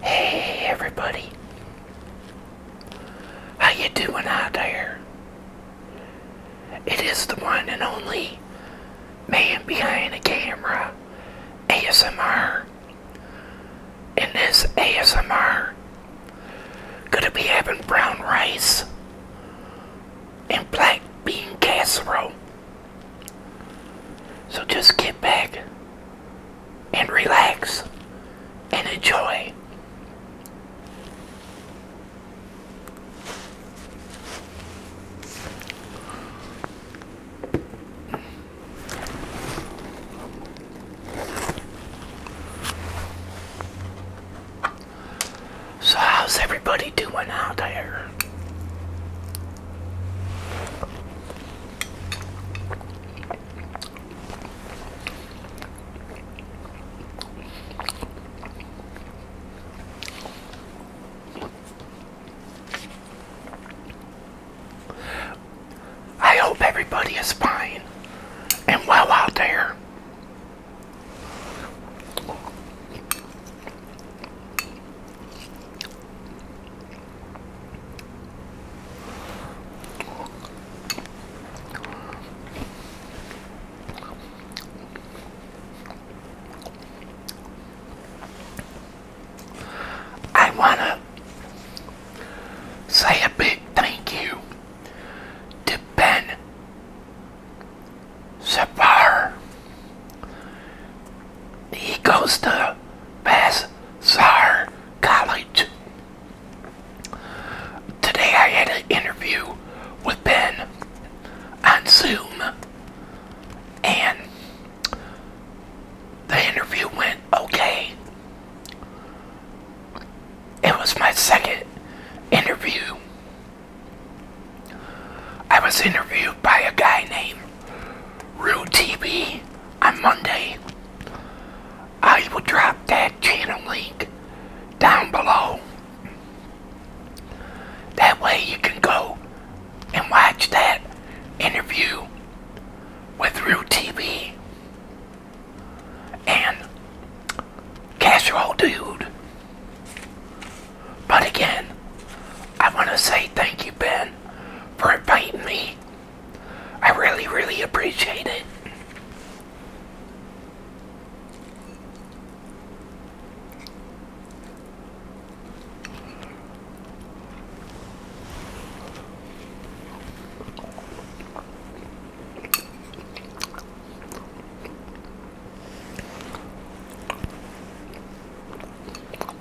Hey everybody. How you doing out there? It is the one and only man behind the camera ASMR. In this ASMR gonna be having brown rice and black bean casserole so just get back and relax and enjoy. So how's everybody doing out there? I hope everybody is fine and well out there. I want to say a big thank you to Ben Sapar he goes to Bassar College. Today I had an interview with Ben on Zoom, and the interview went okay. It was my second interview. I was interviewed by a guy named Rue TV on Monday. I will drop that channel link down below. That way you can go and watch that interview with Rue TV and Casserole Dude. But again, I want to say thank you, Ben for inviting me. I really, really appreciate it.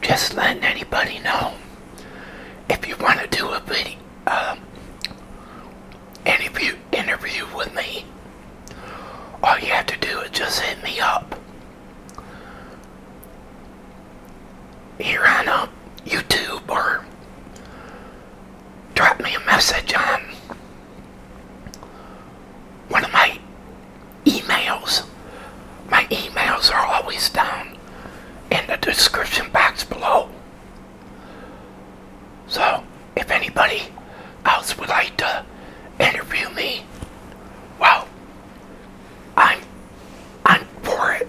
Just letting anybody know if you want to do a video, um, interview, interview with me, all you have to do is just hit me up here on uh, YouTube or drop me a message on one of my emails. My emails are always down in the description box below. So, if anybody else would like to interview me, well, I'm I'm for it.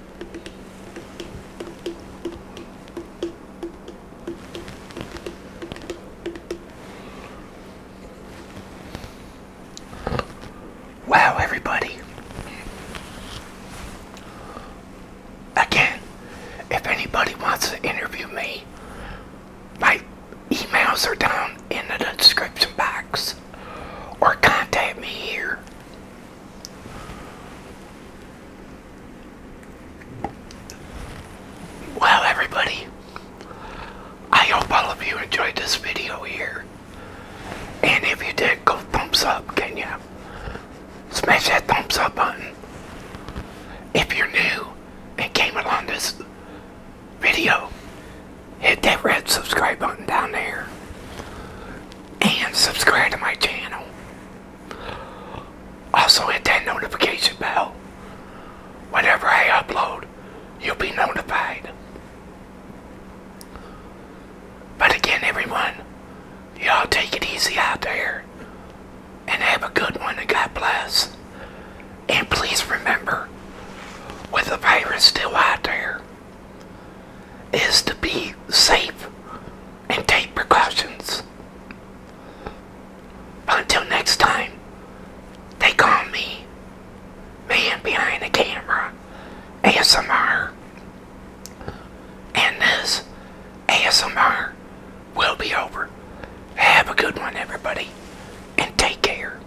Wow, everybody. Again, if anybody wants to interview me, my emails are down in the description box or contact me here. Well, everybody, I hope all of you enjoyed this video here. And if you did, go thumbs up, can you? Smash that thumbs up button. If you're new and came along this video, hit that red subscribe button down there. And subscribe to my channel. Also hit that notification bell. Whenever I upload, you'll be notified. But again, everyone, y'all take it easy out there and have a good one and God bless. And please remember, with the virus still out there, is to be safe and take precautions. Until next time, they call me Man Behind the Camera ASMR. And this ASMR will be over. Have a good one, everybody, and take care.